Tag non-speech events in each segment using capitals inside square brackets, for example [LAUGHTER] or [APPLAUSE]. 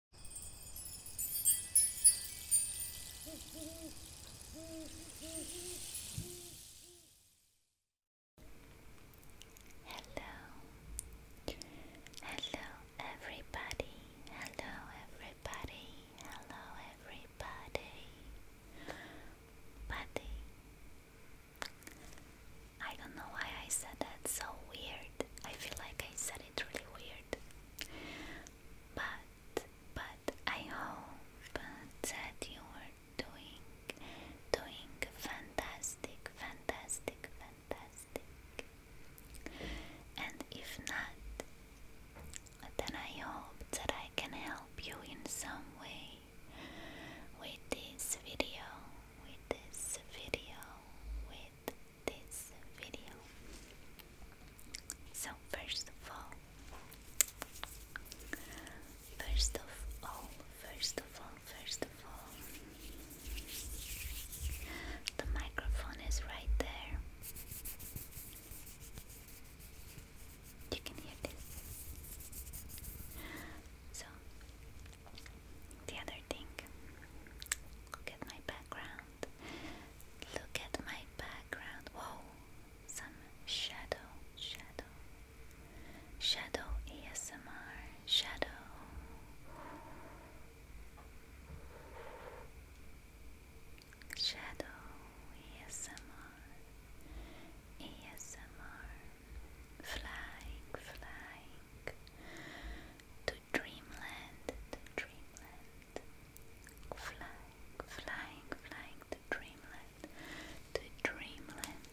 Hello, hello everybody, hello everybody, hello everybody, buddy. I don't know why I said that so weird. I feel like I said it's really weird. But but I hope that you are doing doing fantastic, fantastic, fantastic. And if not, then I hope that I can help you in some way with this video, with this video, with this video. So, first of all, first of all, first of all, first of all, the microphone is right there. You can hear this. So, the other thing, look at my background. Look at my background. Whoa, some shadow, shadow, shadow ASMR, shadow. Shadow ASMR ASMR Flying Flying to dreamland, dreamland. Flying, flying, flying to dreamland, to dreamland.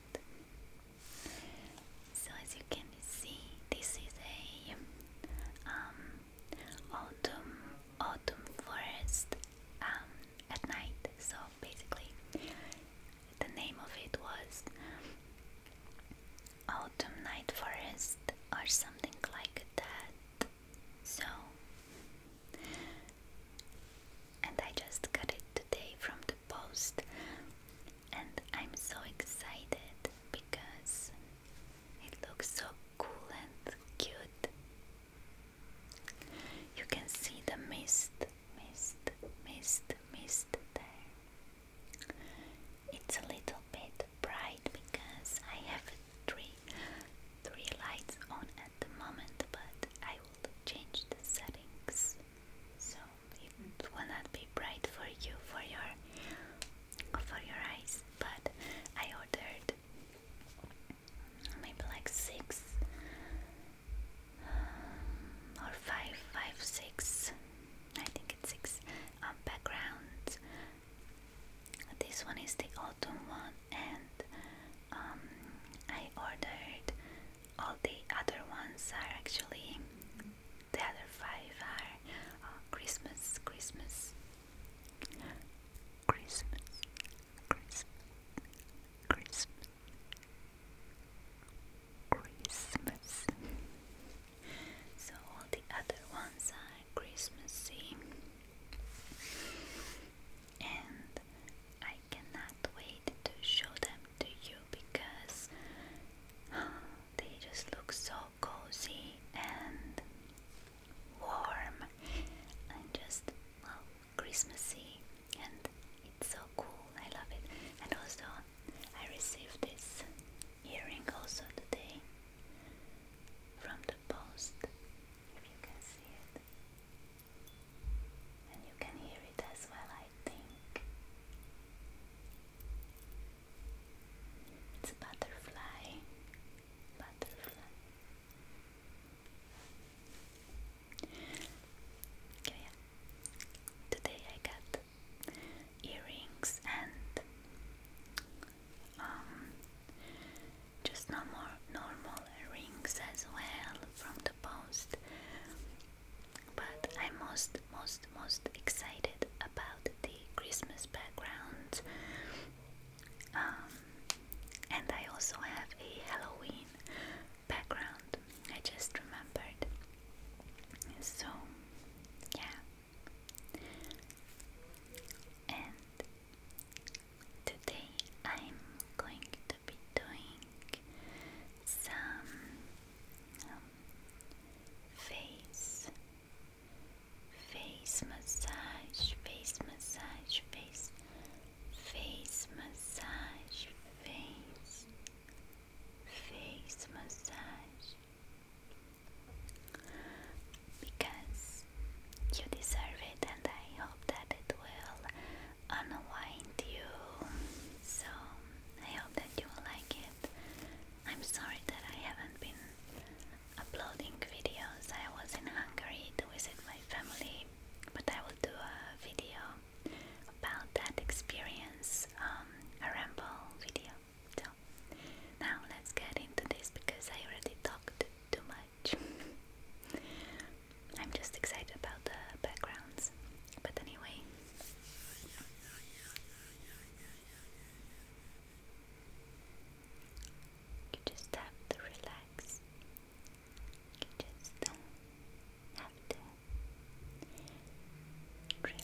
So as you can see, this is a um, autumn, autumn forest um, at night. So basically, the name of it was Autumn Night Forest or something like that. So, and I just got it today from the post, and I'm so excited because it looks so cool and cute. You can see the mist, mist, mist, mist there. It's a little bit bright because I have three three lights on at the moment, but I will change the settings so it will not be bright for you for your for your eyes. But I ordered maybe like six um, or five, five, six I think it's six um, This one is the autumn one, and um, I ordered all the other ones are actually the other five are uh, Christmas, Christmas, Christmas, Christmas. Christmas so all the other ones are Christmassy and I cannot wait to show them to you because [SIGHS] they just look so cozy and warm and just well Christmassy and it's so cool I love it and also I received this earring also today from the post, if you can see it. And you can hear it as well, I think. It's a butterfly. Butterfly. yeah. Today I got earrings and um, just normal, normal rings as well from the post. But I'm most, most, most excited about the Christmas background. Um, and I also have a Halloween background, I just remembered. So, yeah, and today I'm going to be doing some um, face, face massage, face massage, face, face massage, face, face massage because you deserve it, and I hope that it will unwind you. So, I hope that you will like it. I'm sorry that I haven't been uploading videos, I was in Hungary to visit my family, but I will do a video about that experience, um, a ramble video. So now let's get into this because I already talked too much. [LAUGHS] I'm just excited about the backgrounds. But anyway. You just have to relax. You just have to relax.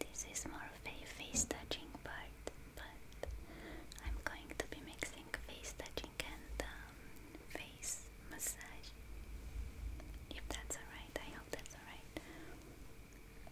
This is more of a face touching part, but I'm going to be mixing face touching and um, face massage. If that's alright, I hope that's alright.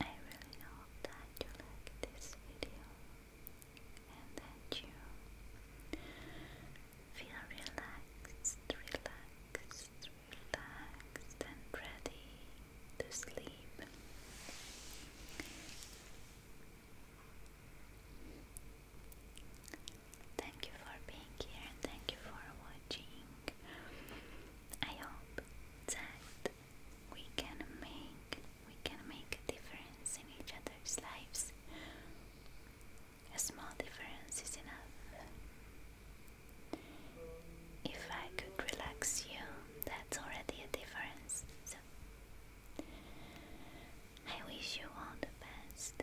I really hope that you like this video and that you feel relaxed, relaxed, relaxed and ready to sleep. Thank you for being here and thank you for watching. I hope that we can make we can make a difference in each other's lives. A small difference is enough. If I could relax you, that's already a difference. So I wish you all the best,